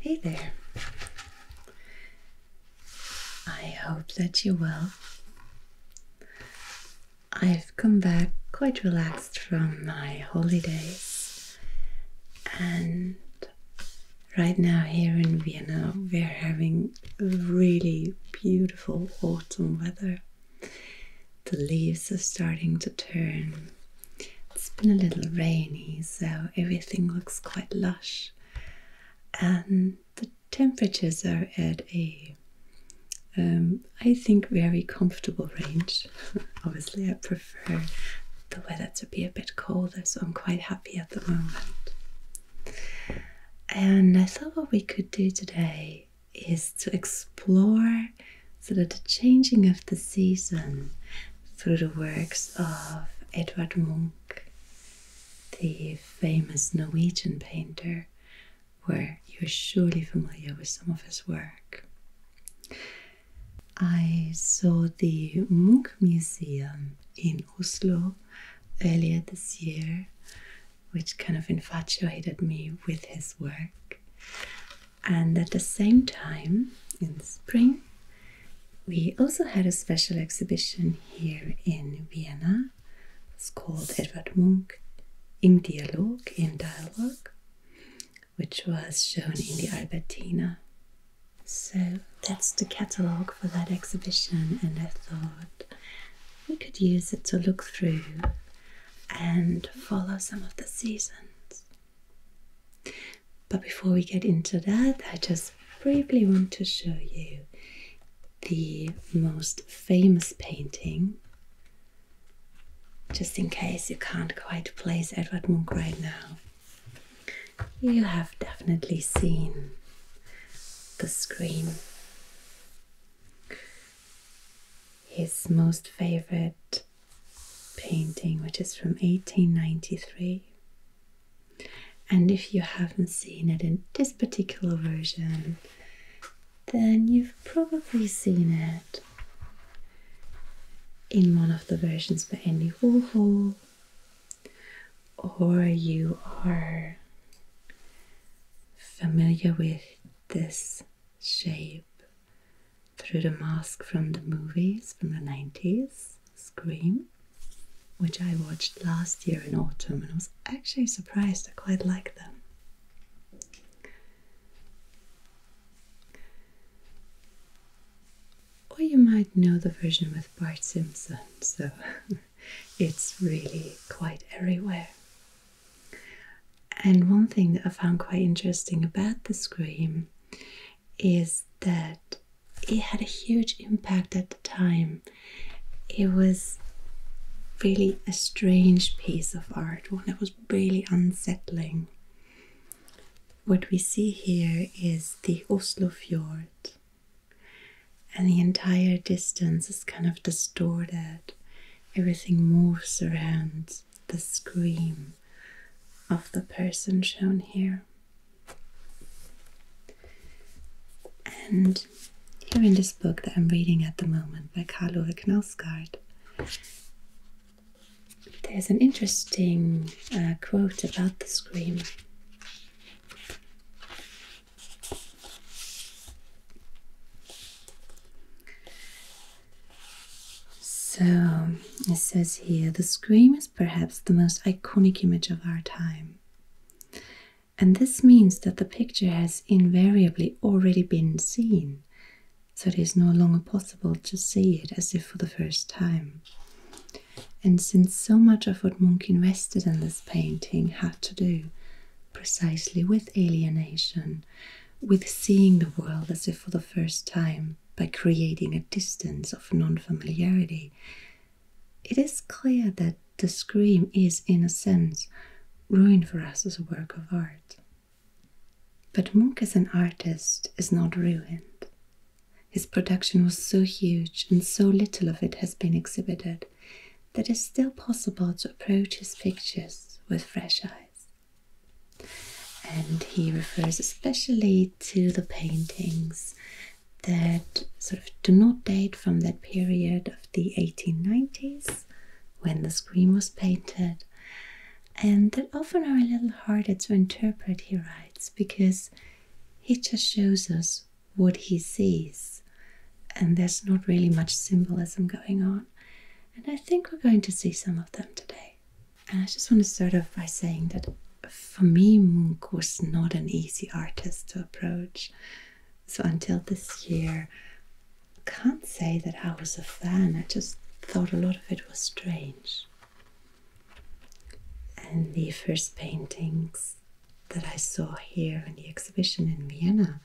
Hey there. I hope that you're well. I've come back quite relaxed from my holidays, and right now, here in Vienna, we're having really beautiful autumn weather. The leaves are starting to turn, it's been a little rainy, so everything looks quite lush, and the temperatures are at a, um, I think very comfortable range. Obviously, I prefer the weather to be a bit colder, so I'm quite happy at the moment. And I thought what we could do today is to explore so that the changing of the season through the works of Edvard Munch, the famous Norwegian painter, where you're surely familiar with some of his work. I saw the Munch Museum in Oslo earlier this year, which kind of infatuated me with his work. And at the same time, in spring, we also had a special exhibition here in Vienna. It's called Edward Munch Im Dialog, in Dialogue, which was shown in the Albertina. So that's the catalogue for that exhibition, and I thought we could use it to look through and follow some of the seasons. But before we get into that, I just briefly want to show you the most famous painting, just in case you can't quite place Edward Munch right now. You have definitely seen the screen his most favorite painting, which is from 1893. And if you haven't seen it in this particular version, then you've probably seen it in one of the versions by Andy Warhol, or you are familiar with this shape through the mask from the movies from the 90s, Scream, which I watched last year in autumn and I was actually surprised I quite liked them. Or you might know the version with Bart Simpson, so it's really quite everywhere. And one thing that I found quite interesting about the Scream is that it had a huge impact at the time. It was really a strange piece of art, one that was really unsettling. What we see here is the Oslo Fjord, and the entire distance is kind of distorted. Everything moves around the scream of the person shown here. And here in this book that I'm reading at the moment by Carlo Knausgaard, there's an interesting uh, quote about the scream. So it says here the scream is perhaps the most iconic image of our time. And this means that the picture has invariably already been seen, so it is no longer possible to see it as if for the first time. And since so much of what Munch invested in this painting had to do precisely with alienation with seeing the world as if for the first time by creating a distance of non familiarity, it is clear that the scream is, in a sense, ruined for us as a work of art. But Munch as an artist is not ruined. His production was so huge and so little of it has been exhibited that it's still possible to approach his pictures with fresh eyes. And he refers especially to the paintings that sort of do not date from that period of the 1890s when the screen was painted and that often are a little harder to interpret, he writes, because he just shows us what he sees and there's not really much symbolism going on. And I think we're going to see some of them today. And I just want to start off by saying that for me, Munch was not an easy artist to approach. So until this year, I can't say that I was a fan. I just thought a lot of it was strange. And the first paintings that I saw here in the exhibition in Vienna,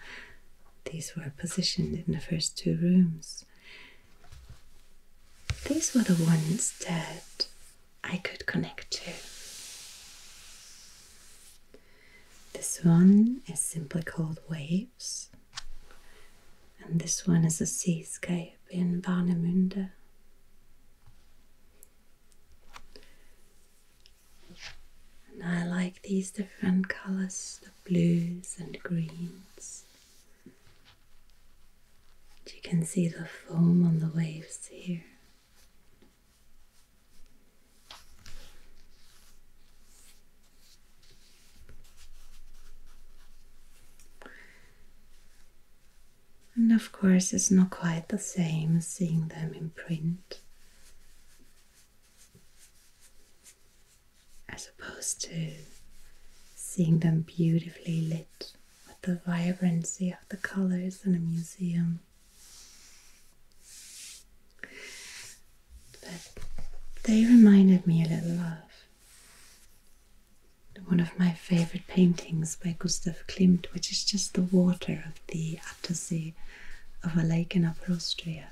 these were positioned in the first two rooms. These were the ones that I could connect to. This one is simply called Waves, and this one is a seascape in Warnemünde. And I like these different colors blues and greens. And you can see the foam on the waves here. And of course, it's not quite the same seeing them in print as opposed to seeing them beautifully lit with the vibrancy of the colors in a museum. But they reminded me a little of one of my favorite paintings by Gustav Klimt, which is just the water of the Attersee of a lake in Upper Austria.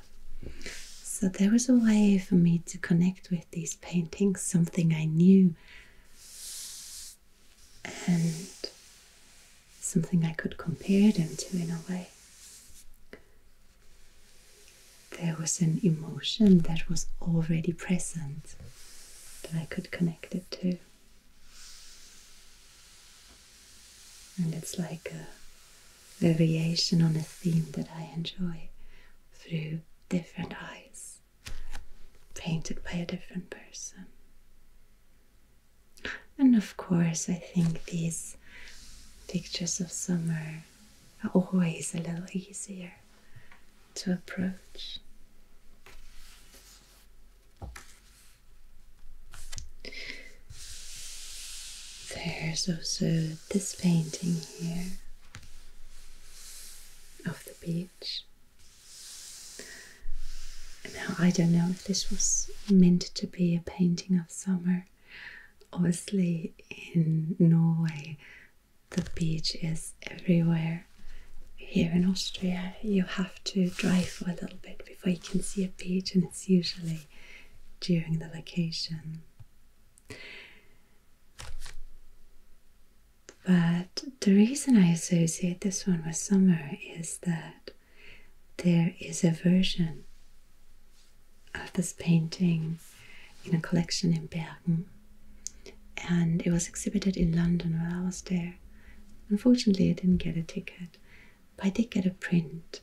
So there was a way for me to connect with these paintings, something I knew and something I could compare them to in a way. There was an emotion that was already present that I could connect it to. And it's like a variation on a theme that I enjoy through different eyes, painted by a different person. And of course, I think these pictures of summer are always a little easier to approach. There's also this painting here of the beach. Now, I don't know if this was meant to be a painting of summer. Obviously, in Norway, the beach is everywhere. Here in Austria, you have to drive for a little bit before you can see a beach, and it's usually during the vacation. But the reason I associate this one with summer is that there is a version of this painting in a collection in Bergen, and it was exhibited in London while I was there. Unfortunately, I didn't get a ticket, but I did get a print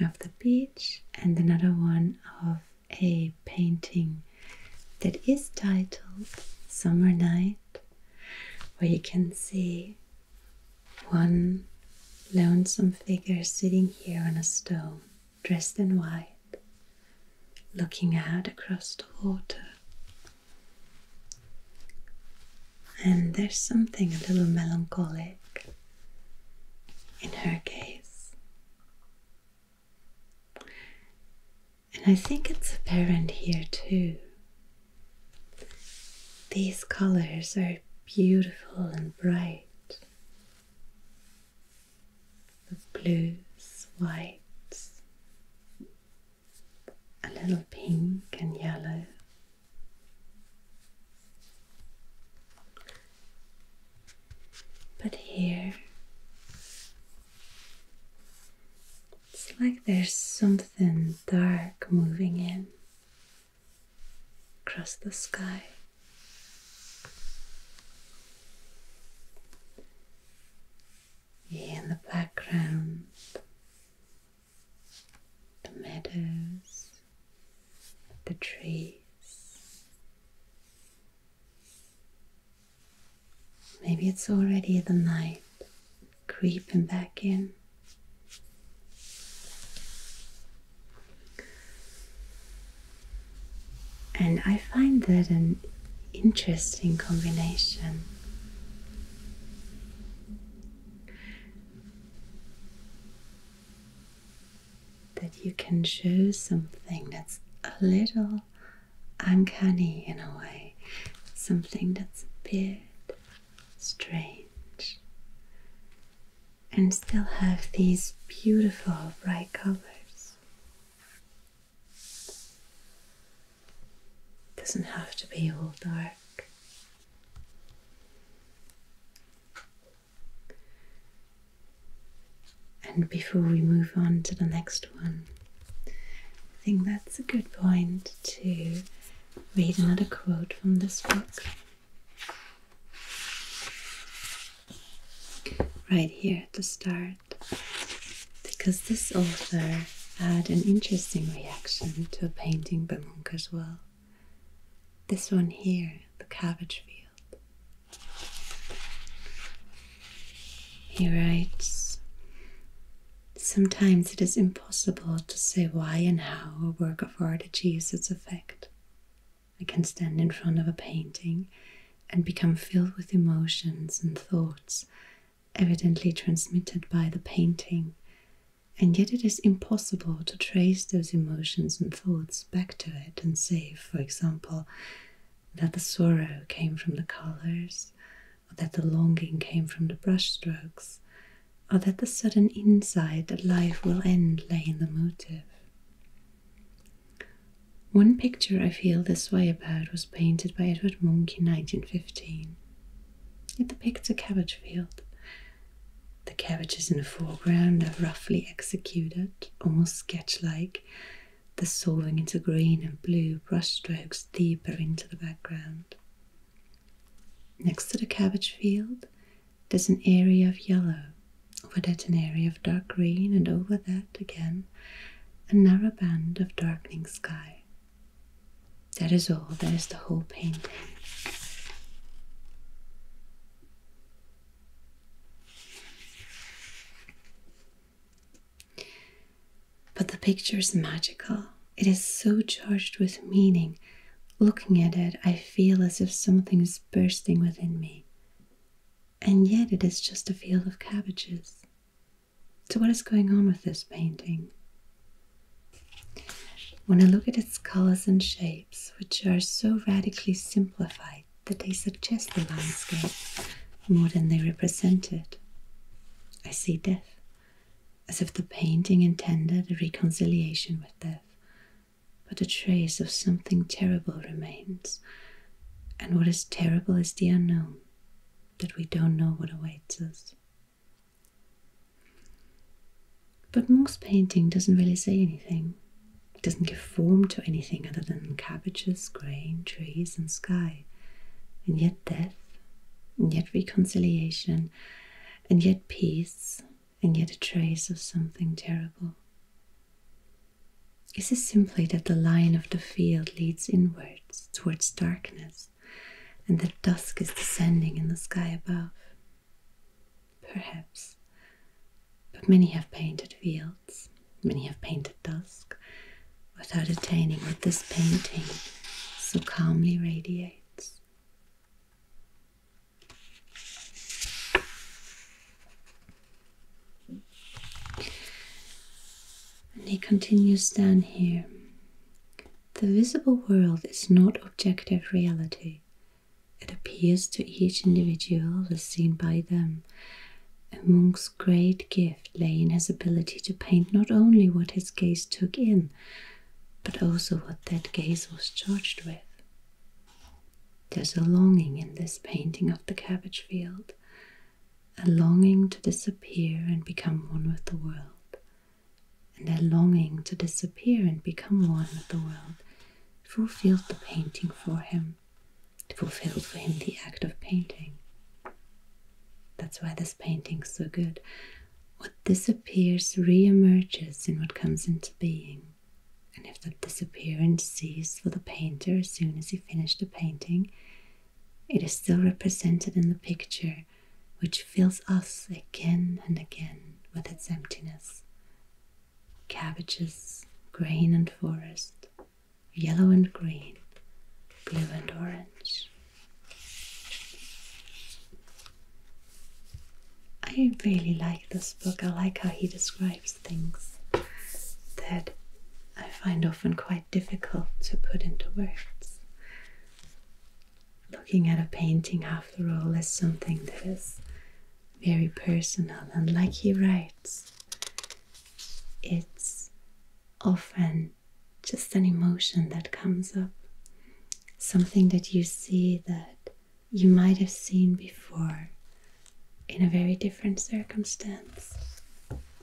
of the piece and another one of a painting that is titled Summer Night, where you can see one lonesome figure sitting here on a stone, dressed in white, looking out across the water. And there's something a little melancholic in her case. And I think it's apparent here too. These colors are beautiful and bright. The blues, whites, a little pink and yellow. But here, it's like there's something dark moving in across the sky. In the background, the meadows, the trees. Maybe it's already the night creeping back in. And I find that an interesting combination that you can show something that's a little uncanny in a way, something that's a bit strange, and still have these beautiful bright colors. Doesn't have to be all dark. And before we move on to the next one, I think that's a good point to read another quote from this book. Right here at the start, because this author had an interesting reaction to a painting by Munch as well. This one here, the cabbage field. He writes Sometimes it is impossible to say why and how a work of art achieves its effect. I can stand in front of a painting and become filled with emotions and thoughts evidently transmitted by the painting and yet it is impossible to trace those emotions and thoughts back to it and say, for example, that the sorrow came from the colors, or that the longing came from the brushstrokes, or that the sudden insight that life will end lay in the motive. One picture I feel this way about was painted by Edward Munch in 1915. It depicts a cabbage field. The cabbages in the foreground are roughly executed, almost sketch like, The dissolving into green and blue brushstrokes deeper into the background. Next to the cabbage field, there's an area of yellow, over that, an area of dark green, and over that, again, a narrow band of darkening sky. That is all, that is the whole painting. But the picture is magical. It is so charged with meaning. Looking at it, I feel as if something is bursting within me. And yet, it is just a field of cabbages. So, what is going on with this painting? When I look at its colors and shapes, which are so radically simplified that they suggest the landscape more than they represent it, I see death, as if the painting intended a reconciliation with death, but a trace of something terrible remains, and what is terrible is the unknown, that we don't know what awaits us. But most painting doesn't really say anything. It doesn't give form to anything other than cabbages, grain, trees, and sky. And yet, death, and yet, reconciliation, and yet, peace, and yet, a trace of something terrible. Is it simply that the line of the field leads inwards towards darkness, and that dusk is descending in the sky above, Perhaps. But many have painted fields, many have painted dusk, without attaining what this painting so calmly radiates. And he continues down here. The visible world is not objective reality, it appears to each individual as seen by them. A monk's great gift lay in his ability to paint not only what his gaze took in, but also what that gaze was charged with. There's a longing in this painting of the cabbage field, a longing to disappear and become one with the world, and their longing to disappear and become one with the world fulfilled the painting for him, fulfilled for him the act of painting. That's why this painting's so good. What disappears re-emerges in what comes into being. And if the disappearance ceases for the painter as soon as he finishes the painting, it is still represented in the picture, which fills us again and again with its emptiness. Cabbages, grain and forest, yellow and green, blue and orange. I really like this book. I like how he describes things that I find often quite difficult to put into words looking at a painting, after all, is something that is very personal, and like he writes, it's often just an emotion that comes up, something that you see that you might have seen before in a very different circumstance,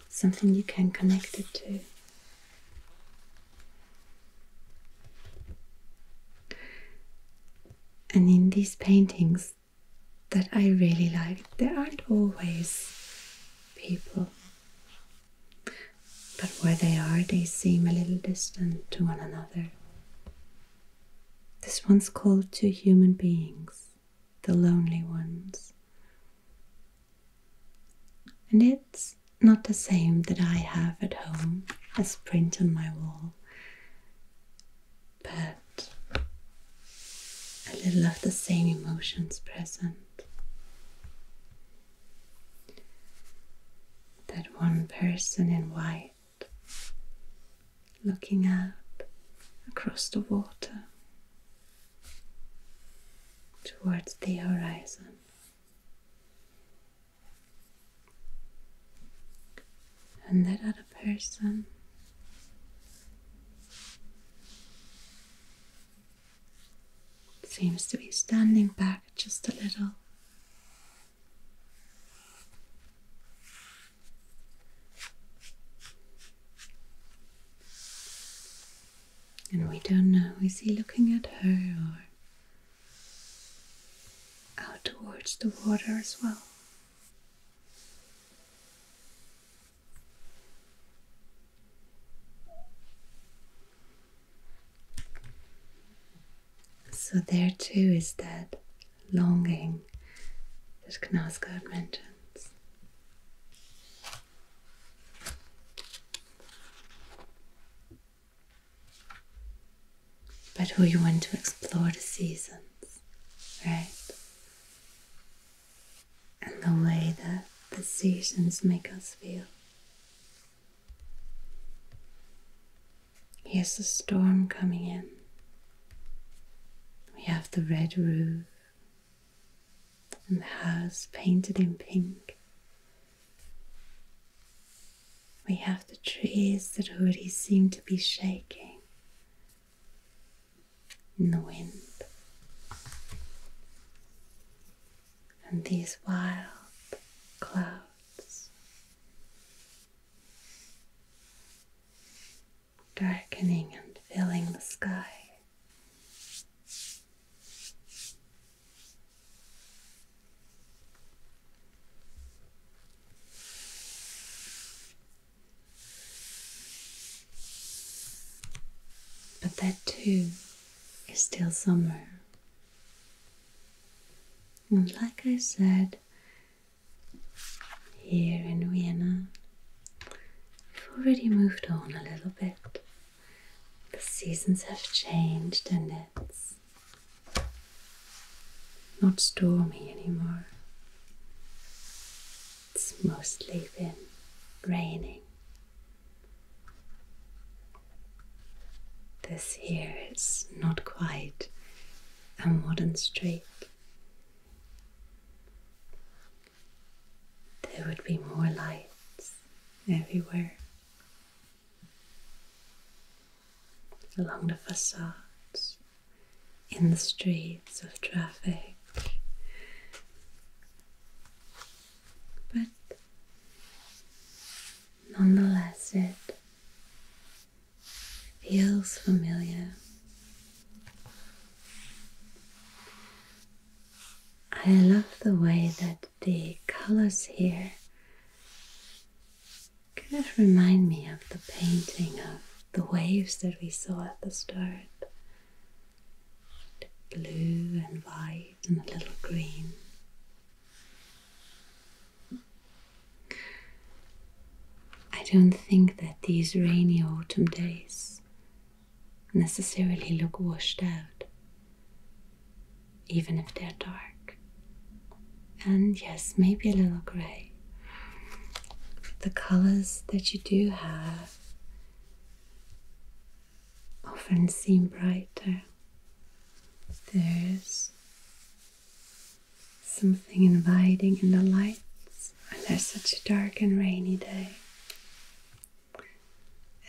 something you can connect it to. And in these paintings that I really like, there aren't always people, but where they are, they seem a little distant to one another. This one's called Two Human Beings, the Lonely Ones. And it it's not the same that I have at home as print on my wall, but a little of the same emotions present. That one person in white looking out across the water towards the horizon and that other person seems to be standing back just a little. And we don't know, is he looking at her or out towards the water as well. So, there too is that longing that Knausgaard mentions but who you want to explore the seasons, right? And the way that the seasons make us feel. Here's the storm coming in. We have the red roof and the house painted in pink we have the trees that already seem to be shaking in the wind, and these wild clouds darkening and filling the sky. But that too is still summer. And like I said, here in Vienna, we've already moved on a little bit. The seasons have changed and it's not stormy anymore. It's mostly been raining. This here is not quite a modern street. There would be more lights everywhere along the facades, in the streets of traffic. But nonetheless, it feels familiar. I love the way that the colors here kind of remind me of the painting of the waves that we saw at the start the blue and white and a little green. I don't think that these rainy autumn days necessarily look washed out even if they're dark. And yes, maybe a little grey. The colors that you do have often seem brighter. There's something inviting in the lights when there's such a dark and rainy day.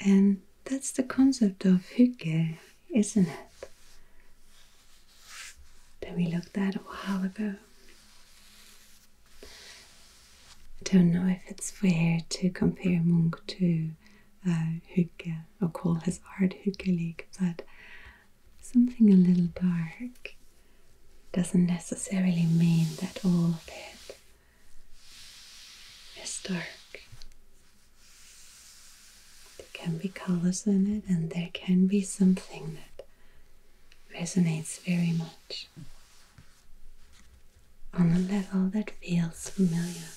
And that's the concept of hygge, isn't it? That we look that a while ago. I don't know if it's fair to compare Munch to uh, or call his art Huke-like, but something a little dark doesn't necessarily mean that all of it is dark. There can be colors in it, and there can be something that resonates very much on a level that feels familiar.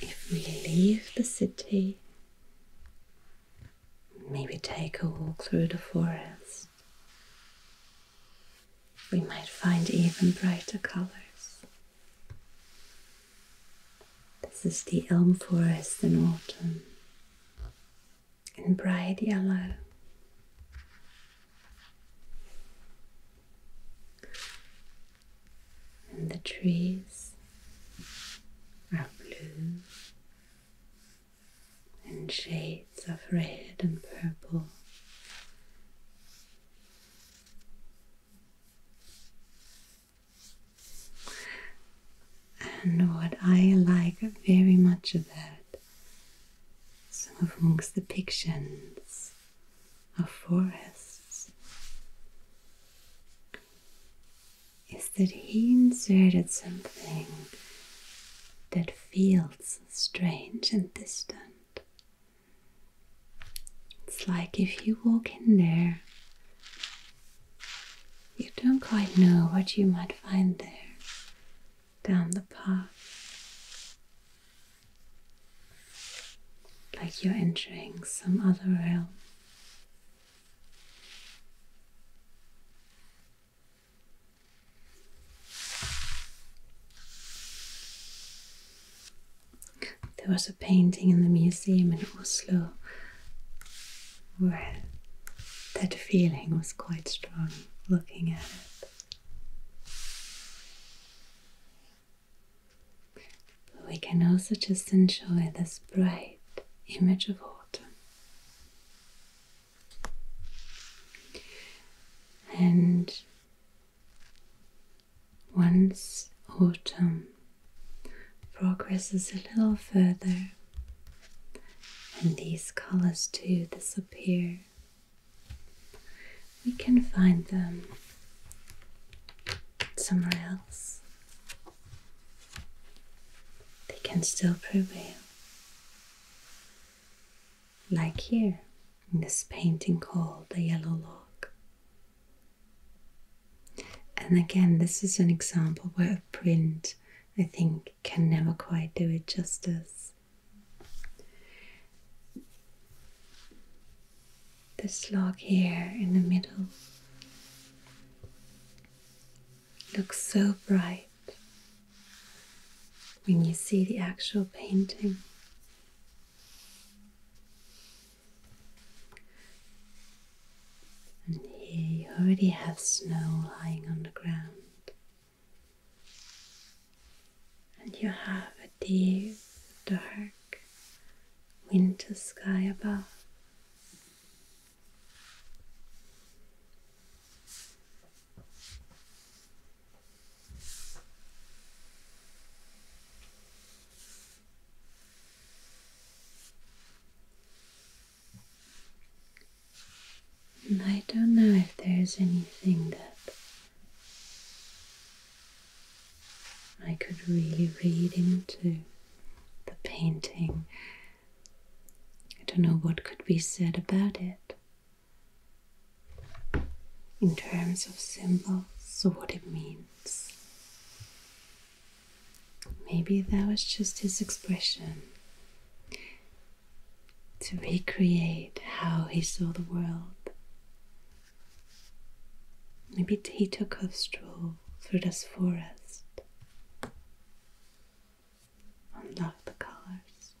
If we leave the city, maybe take a walk through the forest. We might find even brighter colors. This is the elm forest in autumn in bright yellow. And the trees are blue and shades of red and purple. And what I like very much about some of the pictures of forests is that he inserted something that feels strange and distant. It's like if you walk in there, you don't quite know what you might find there down the path. Like you're entering some other realm. There was a painting in the museum in Oslo where that feeling was quite strong looking at it. But we can also just enjoy this bright image of autumn. And once autumn progresses a little further, and these colors too disappear, we can find them somewhere else. They can still prevail. Like here in this painting called The Yellow Log. And again, this is an example where a print, I think, can never quite do it justice. This log here in the middle looks so bright when you see the actual painting. And here you already have snow lying on the ground. And you have a deep, dark winter sky above. I don't know if there is anything that I could really read into the painting I don't know what could be said about it in terms of symbols or what it means. Maybe that was just his expression to recreate how he saw the world. Maybe he took a stroll through this forest and love the colors.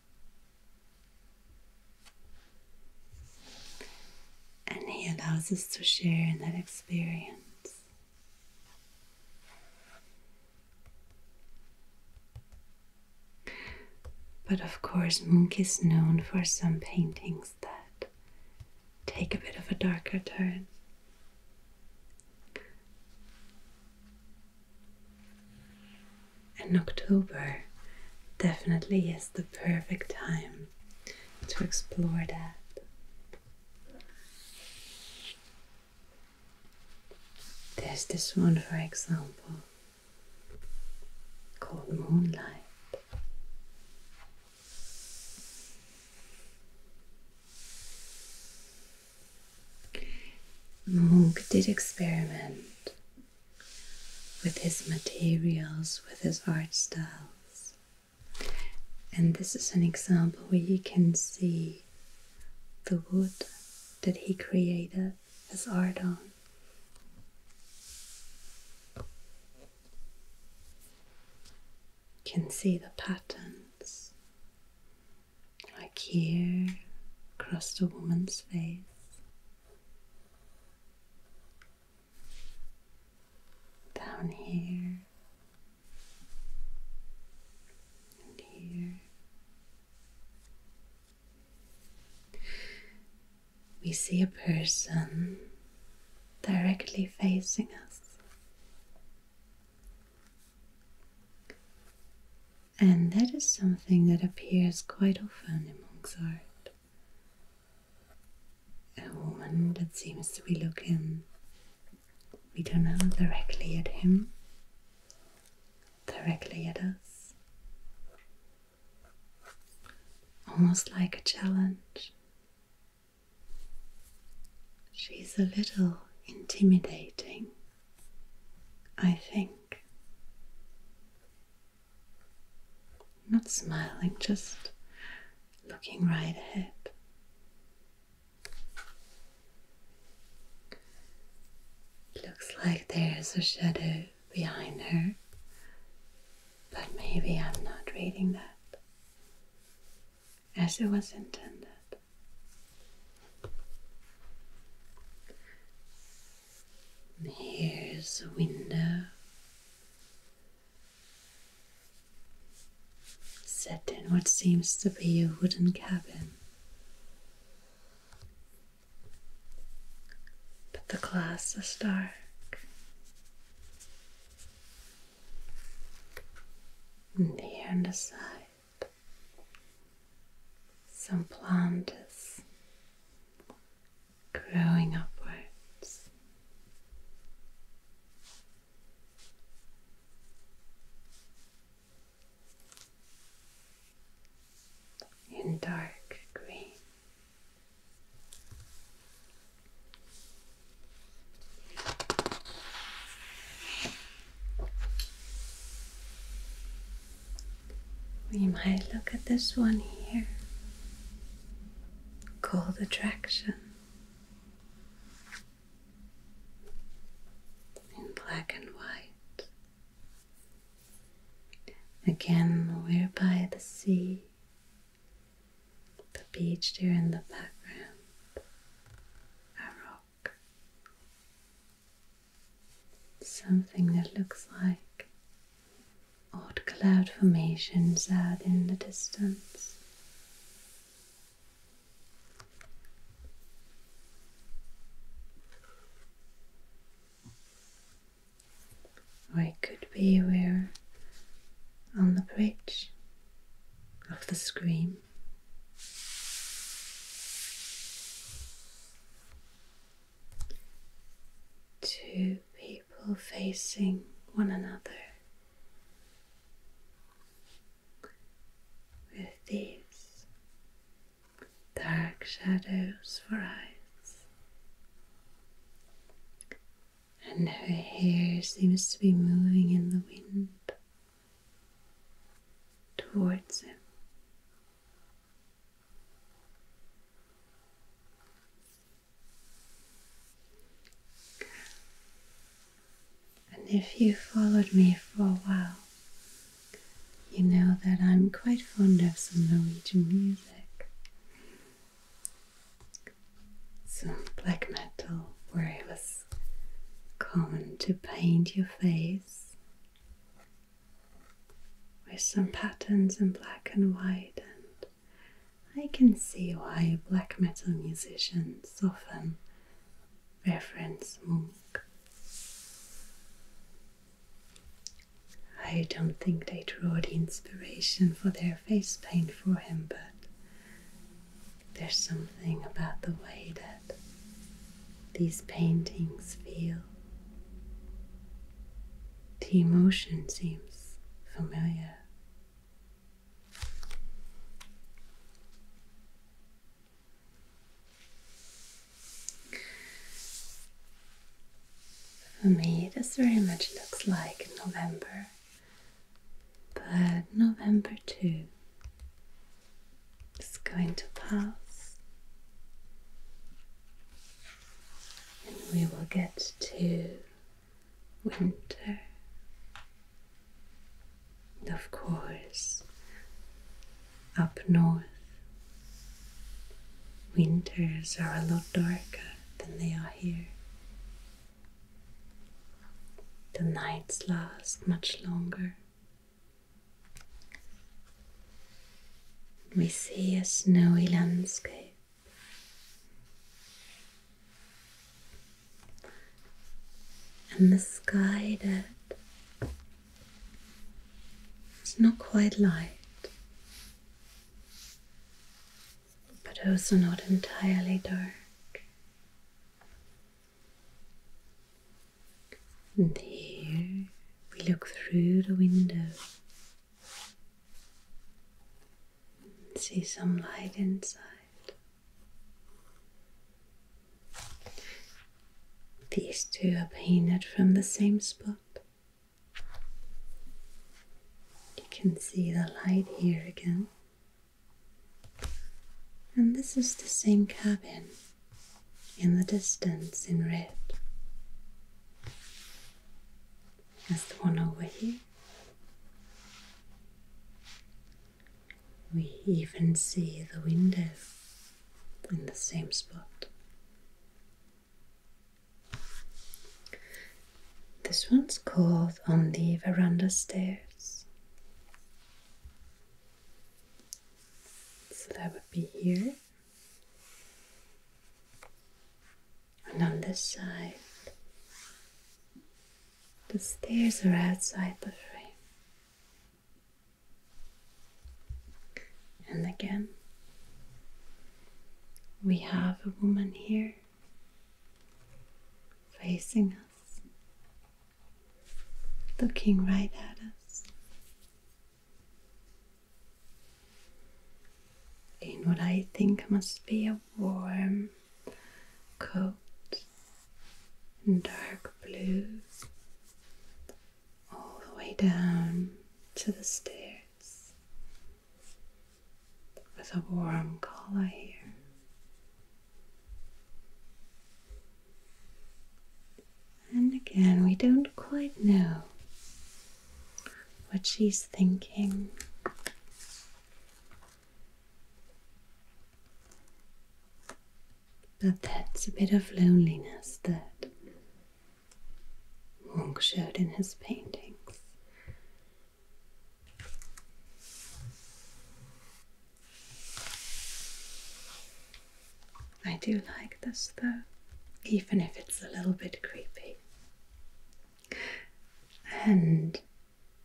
And he allows us to share in that experience. But of course, Munch is known for some paintings that take a bit of a darker turn. And October definitely is the perfect time to explore that. There's this one, for example, called Moonlight. Moog did experiment with his materials, with his art styles. And this is an example where you can see the wood that he created his art on. You can see the patterns like here across the woman's face. Down here and here. We see a person directly facing us, and that is something that appears quite often in monks' art. A woman that seems to be looking, we don't know, directly at him, directly at us. Almost like a challenge. She's a little intimidating, I think. Not smiling, just looking right ahead. Looks like there's a shadow behind her, but maybe I'm not reading that as it was intended. And here's a window set in what seems to be a wooden cabin. But the glass is dark. And here on the side some plant is growing upwards. In dark green, we might look at this one here Cold Attraction in black and white. Again, we're by the sea, the beach there in the background, a rock. Something that looks like odd cloud formations out in the distance. Or it could be we're on the bridge of the scream. Two people facing one another with these dark shadows for eyes, and her hair seems to be moving in the wind towards him. And if you followed me for a while, you know that I'm quite fond of some Norwegian music, some black metal, where I Come to paint your face with some patterns in black and white, and I can see why black metal musicians often reference Moog. I don't think they draw the inspiration for their face paint for him, but there's something about the way that these paintings feel. The emotion seems familiar. For me, this very much looks like November but November two is going to pass, and we will get to winter. of course, up north, winters are a lot darker than they are here. The nights last much longer. We see a snowy landscape. And the sky that is not quite light, but also not entirely dark. And here we look through the window and see some light inside. These two are painted from the same spot. You can see the light here again. And this is the same cabin in the distance in red as the one over here. We even see the window in the same spot. This one's called On the Veranda Stair. So that would be here. And on this side, the stairs are outside the frame. And again, we have a woman here facing us looking right at us. In what I think must be a warm coat in dark blue, all the way down to the stairs with a warm color here. And again, we don't quite know what she's thinking. But that's a bit of loneliness that Wong showed in his paintings. I do like this though, even if it's a little bit creepy. And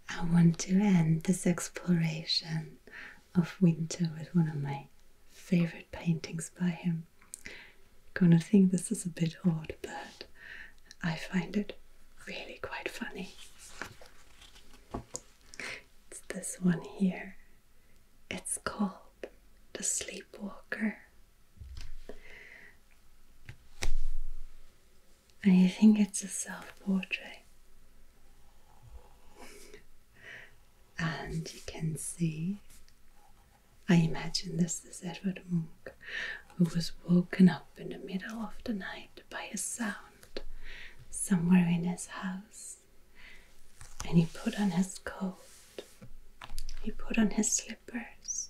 I want to end this exploration of winter with one of my favorite paintings by him. Gonna think this is a bit odd, but I find it really quite funny. It's this one here. It's called The Sleepwalker. I think it's a self portrait. And you can see, I imagine this is Edward Munch, who was woken up in the middle of the night by a sound somewhere in his house, and he put on his coat, he put on his slippers,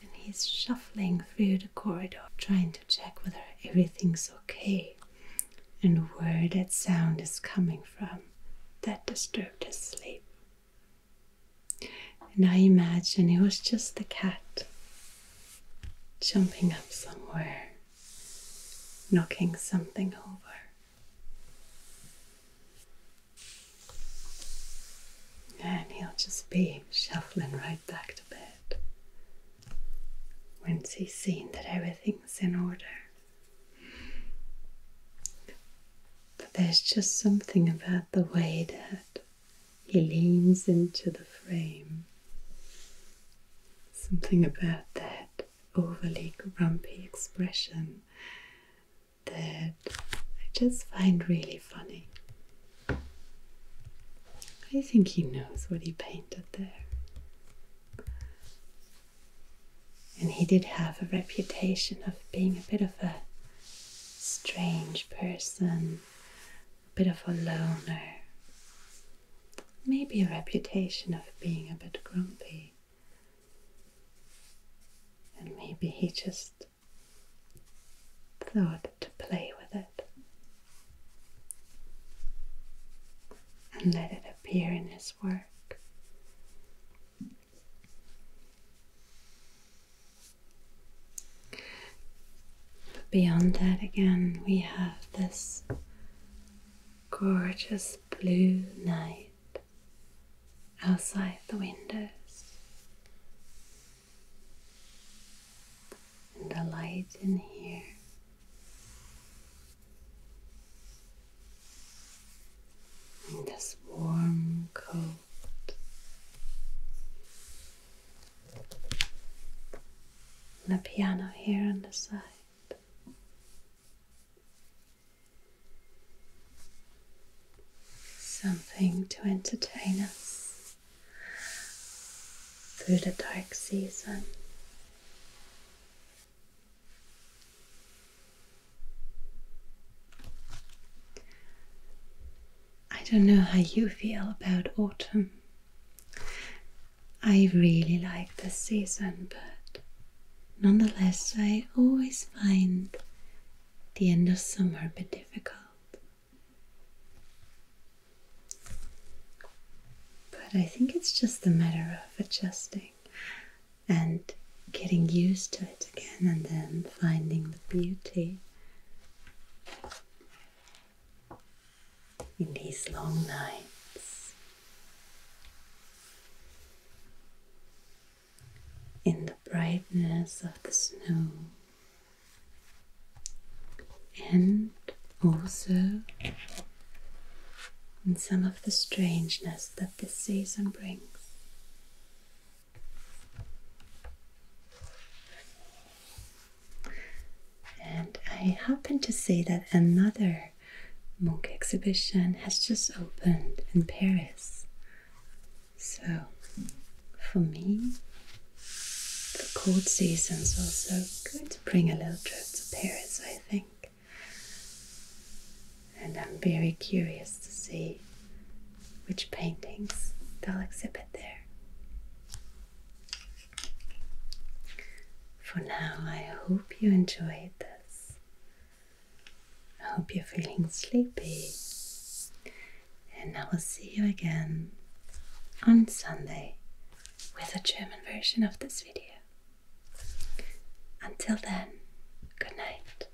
and he's shuffling through the corridor, trying to check whether everything's okay and where that sound is coming from that disturbed his sleep. And I imagine it was just the cat jumping up somewhere, knocking something over. And he'll just be shuffling right back to bed once he's seen that everything's in order. But there's just something about the way that he leans into the frame. Something about that overly grumpy expression that I just find really funny. I think he knows what he painted there. And he did have a reputation of being a bit of a strange person, bit of a loner, maybe a reputation of being a bit grumpy, and maybe he just thought to play with it and let it appear in his work. But beyond that, again, we have this gorgeous blue night outside the windows. And the light in here. And this warm coat and a piano here on the side. Something to entertain us through the dark season. I don't know how you feel about autumn. I really like the season, but nonetheless, I always find the end of summer a bit difficult. But I think it's just a matter of adjusting and getting used to it again and then finding the beauty in these long nights. In the brightness of the snow, and also in some of the strangeness that this season brings. And I happened to say that another monk exhibition has just opened in Paris. So for me, the cold season is also going to bring a little trip to Paris, I think. And I'm very curious to see which paintings they'll exhibit there. For now, I hope you enjoyed this. I hope you're feeling sleepy, and I will see you again on Sunday with a German version of this video. Until then, good night.